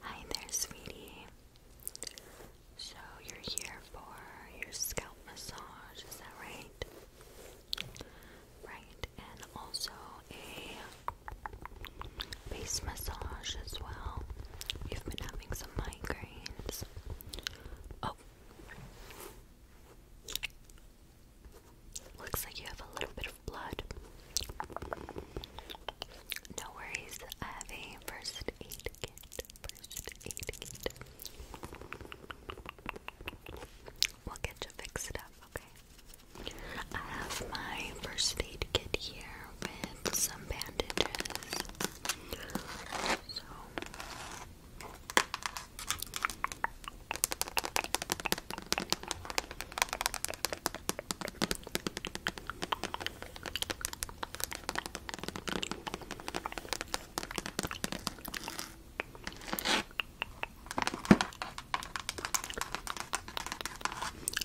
Hi there, sweetie. So you're here for your scalp massage, is that right? Right, and also a face massage as well. You've been having some migraines. Oh. Looks like you have a little bit of blood. No worries, I have a first aid kit. First aid kit. We'll get you fixed up, okay? I have my first aid kit here with some bandages. So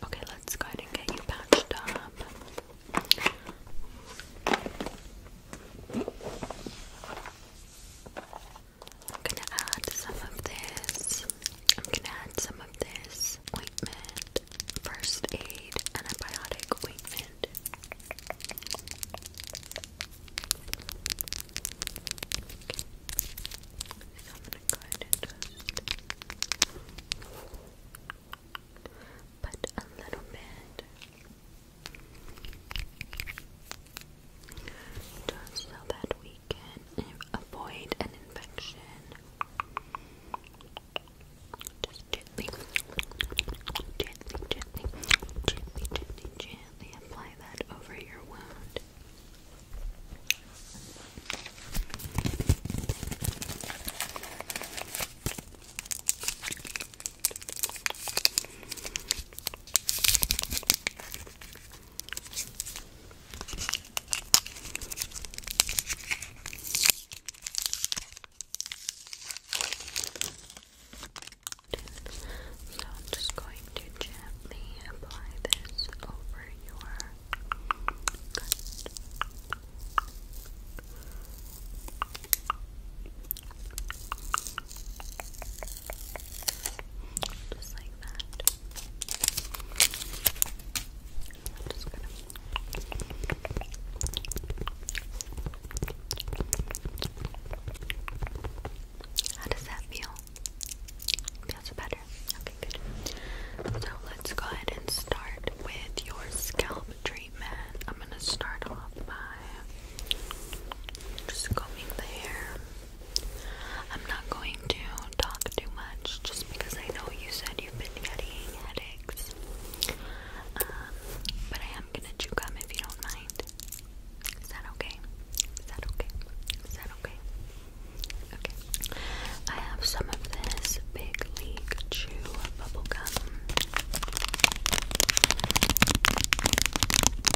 Okay, let's go ahead and get you patched up. I'm gonna add some of this. I'm gonna add some of this ointment, first aid, antibiotic ointment. So I'm gonna just put a little bit just so that we can avoid an infection. gently, gently, gently, gently, gently apply that over your wound. So I'm just going to gently apply this over your just like that. just gonna How does that feel? Feels better. Okay, good. So let's go ahead and start with your scalp treatment. I'm gonna start off by just combing the hair. I'm not going to talk too much just because I know you said you've been getting headaches. Um, but I am gonna chew gum if you don't mind. Is that okay? Is that okay? Is that okay? Okay. I have some of this Big League Chew bubble gum.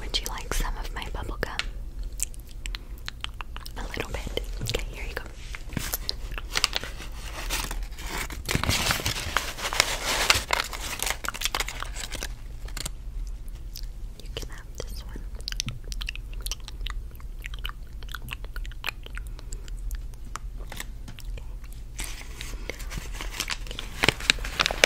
Would you like some of my bubblegum? A little bit. Okay, here you go. You can have this one.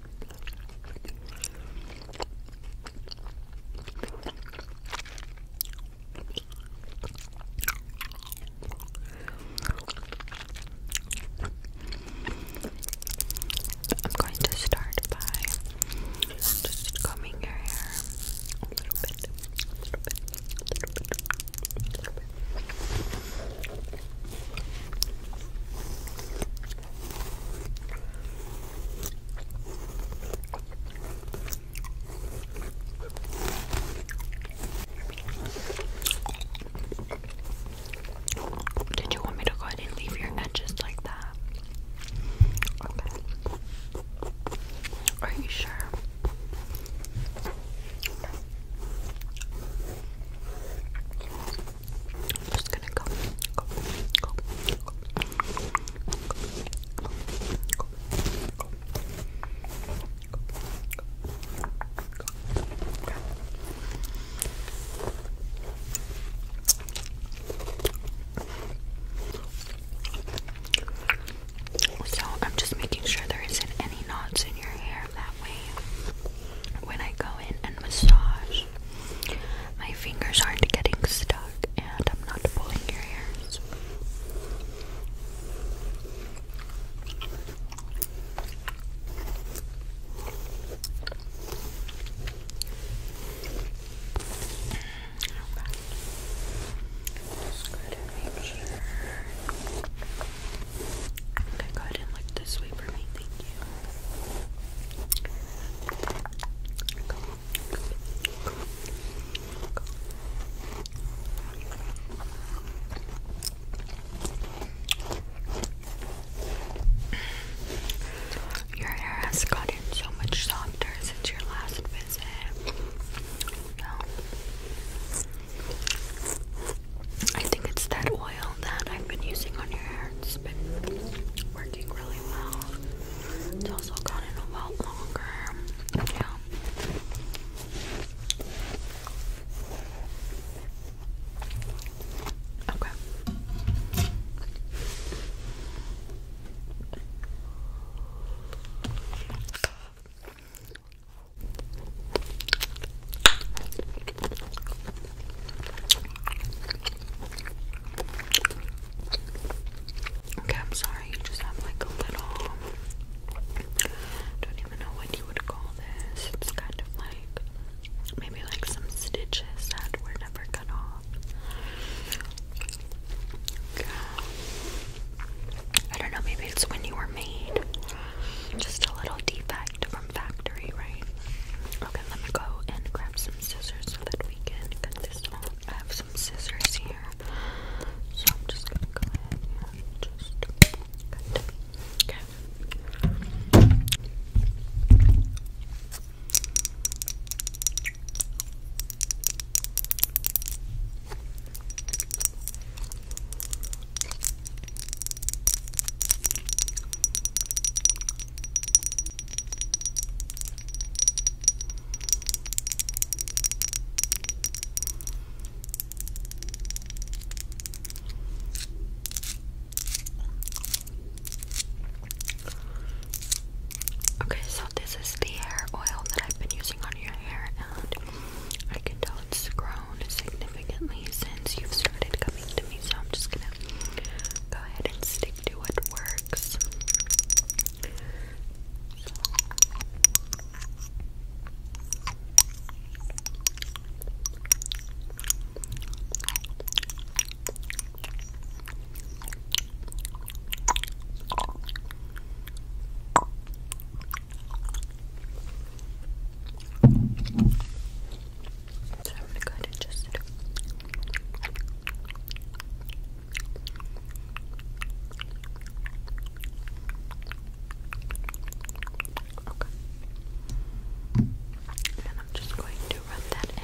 I'm going to start by just combing your hair a little bit, little bit, little bit, little bit. Did you want me to go ahead and leave your edges like that? Okay. Are you sure? I'm just gonna go, So I'm just making sure there isn't any knots in your hair when I go in and massage, my fingers aren't getting stuck and I'm not pulling your hairs. Right. Just go ahead make sure. Okay, go ahead and look this way for me, thank you. Your hair has gotten so much softer since your last visit. I think it's that oil that I've been using on your hair. It's been working really well. It's also gotten a lot longer. Yeah. Okay. Okay, I'm sorry, you just have like a little don't even know what you would call this. It's kind of like maybe like some stitches that were never cut off. I don't know, maybe it's when you were made. Just a little defect from factory, right? Okay, let me go and grab some scissors so that we can cut this off. I have some scissors here, so I'm just gonna go ahead and just cut. Okay. Okay. Okay, so this is the hair oil that I've been using on your hair, and I can tell it's grown significantly significantly since you've started coming to me, so I'm just gonna go ahead and stick to what works. So I'm gonna go ahead and just Okay. And I'm just going to rub that in.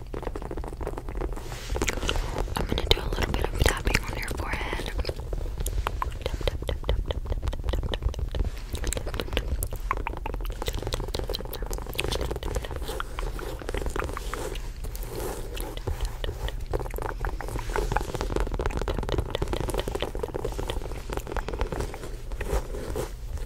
I'm gonna do a little bit of tapping on your forehead. Tap,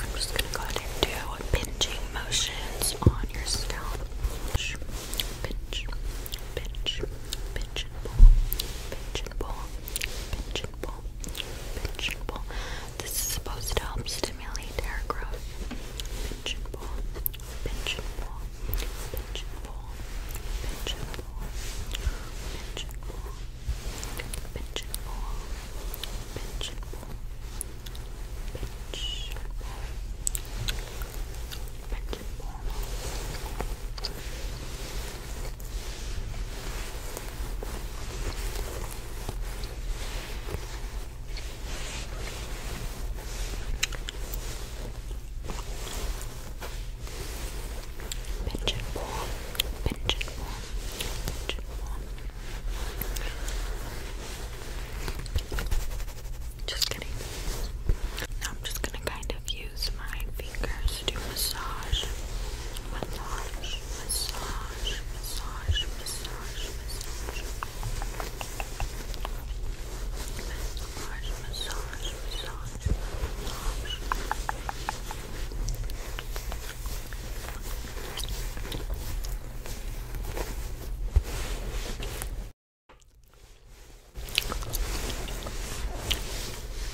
I'm just going to go ahead and do pinching motions on your scalp. Pinch, pinch, pinch, pinch and pull, pinch and pull, pinch Pigeon bowl. This is supposed to help stimulate hair growth. Pigeon bowl. Pigeon bowl. Pigeon bowl. Pigeon bowl. Pigeon bowl. Pigeon bowl. Pigeon bowl. Pigeon bowl. Pigeon bowl. Pinch and warm, pinch and warm, Just kidding. No, I'm just gonna kind of use my fingers to massage, massage, massage, massage, massage, massage, massage, massage, massage, massage.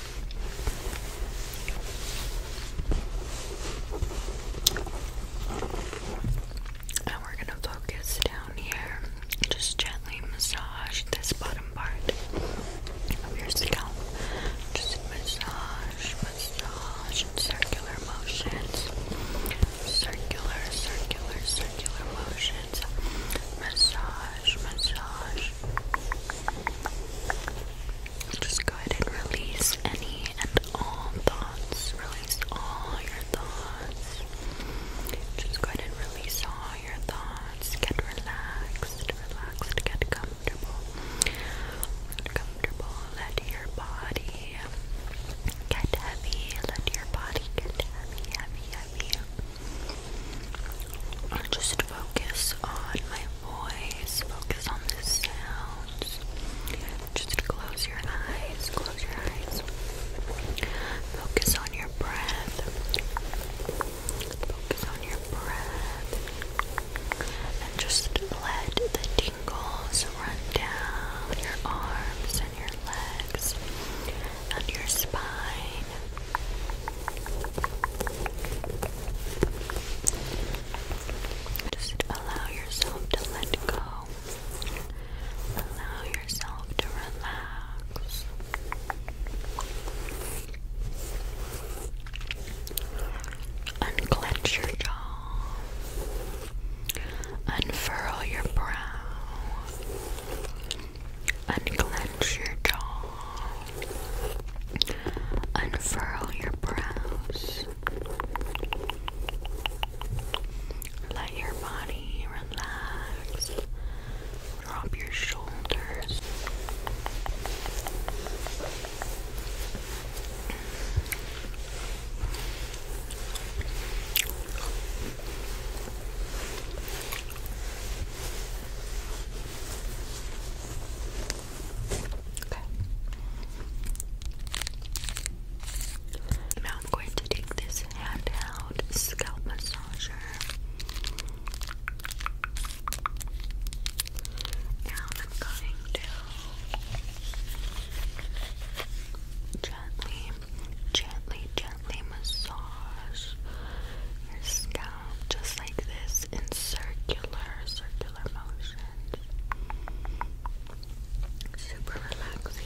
And we're going to focus down here. Just gently massage this bottom part of your scalp. Just massage, massage circular motions. Circular, circular, circular motions. Massage massage, Just go ahead and release any and all thoughts. Release all your thoughts. Just go ahead and release all your thoughts. Get relaxed, relaxed, get comfortable. comfortable. Let your body get heavy. Let your body get heavy, heavy, heavy. Just focus on my voice, focus on the sounds. Just close your eyes, close your eyes. Focus on your breath. Focus on your breath. And just let the tingles run down your arms and your legs and your spine. Just allow yourself to let go. Allow yourself to relax. Unclench your jaw. Unfurl your brow. Unclench your jaw. Unfurl your brows. Let your body relax. Drop your shoulders. Now I'm going to take this handheld scalp massager. Now I'm going to gently, gently, gently massage your scalp. Um, just like this in circular, circular motions. Super relaxing.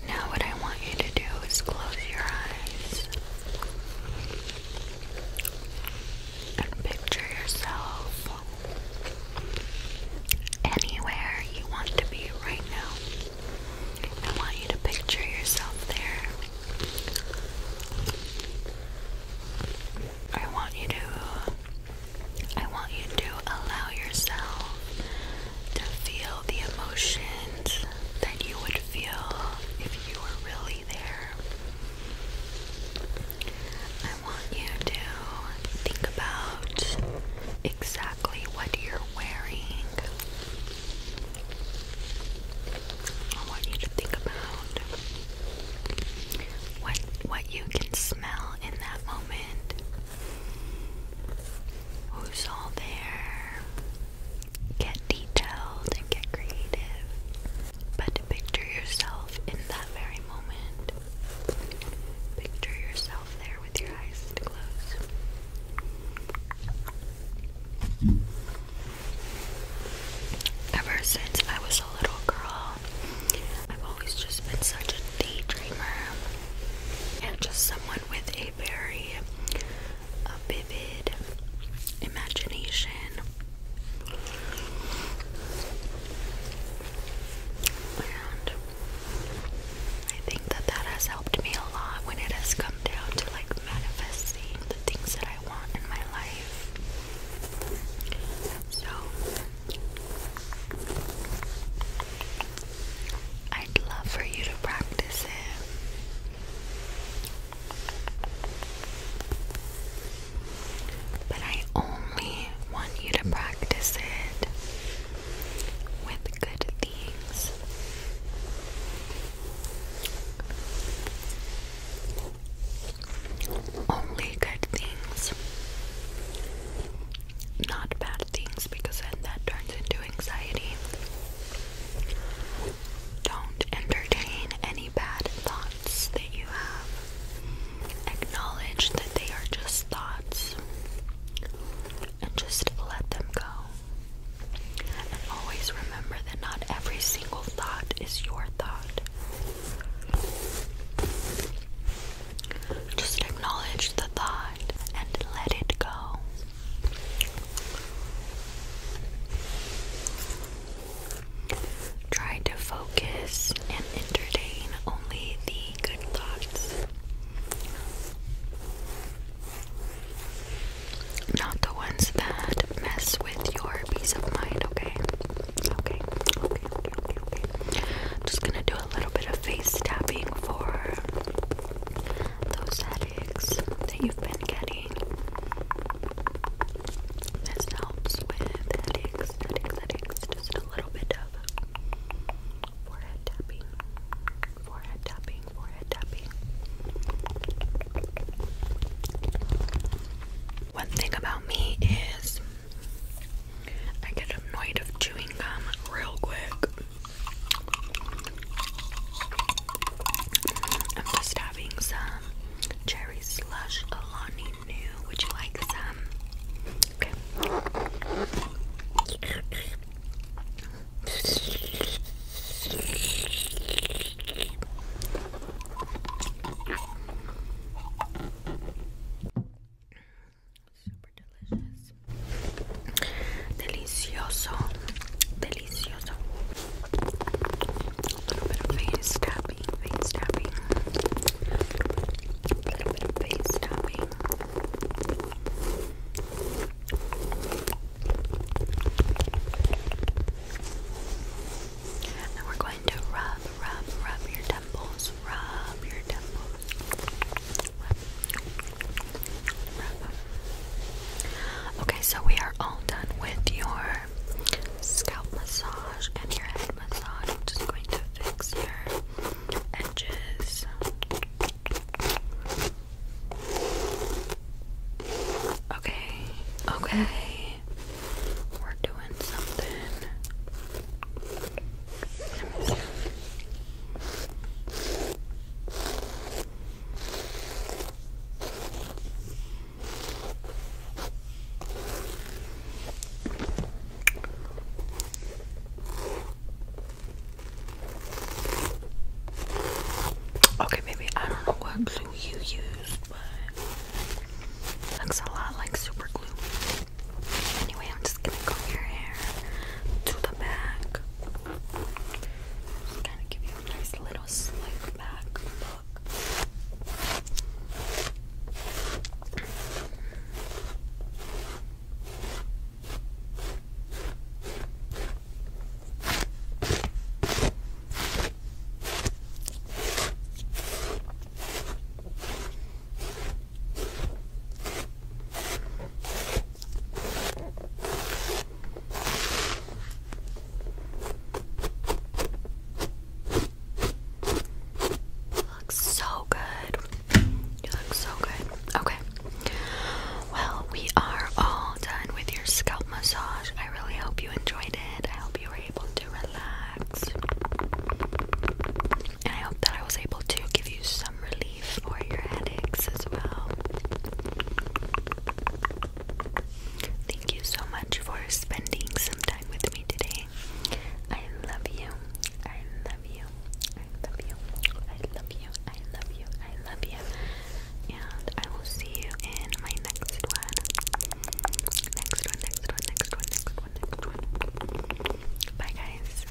now, what I want you to do is close your eyes and picture yourself anywhere you want to be right now. I want you to picture yourself there. I want you to I want you to allow yourself to feel the emotions that you would feel if you were really there. I want you to think about exactly what you're wearing. I want you to think about what what you can smell in that moment. Who's all there? get detailed and get creative, but picture yourself in that very moment. Picture yourself there with your eyes closed. Ever since I was a little girl, I've always just been such a daydreamer and just someone with a very imagination. I think that that has helped me a lot when it has come down to like manifesting the things that I want in my life. So, I'd love for you to practice it. But I only want you to practice it with good things. Only good things. Not bad things because then that turns into anxiety. Don't entertain any bad thoughts that you have. Acknowledge that they are just thoughts and just let them go. And always remember that not every single thought is your thought. Just acknowledge the thought and let it go. Try to focus and entertain only the good thoughts, not the ones that mess with your peace of mind, okay? Okay, okay, okay, okay, Just gonna do a little bit of face tapping for those that that you've been getting. This helps with headaches, headaches, headaches. Just a little bit of forehead tapping, forehead tapping, forehead tapping. One thing about me is I get annoyed of chewing gum real quick. I'm just having some cherry slush Alani New. Would you like some? Super delicious. Delicioso delicioso. A little bit of face tapping, face tapping. A little bit of face tapping. And we're going to rub, rub, rub your temples, rub your temples. Okay, so we are all done with your scalp massage and your head massage. just going to fix your edges. Okay, okay. We're doing something. Okay, maybe I don't know what glue you use, but looks a lot like super glue. Anyway, I'm just gonna comb your hair to the back. Just kind of give you a nice little little slick back look. Looks so good. You look so good. Okay. Well, we are all done with your scalp massage. I really hope you enjoyed it. I hope you were able to relax. And I hope that I was able to give you some relief for your headaches as well. Thank you so much for spending some time with me today. I love you. I love you. I love you. I love you. I love you. I love you. And I will see you in my next one. Next one, next one, next one, next one, next one. Bye, guys.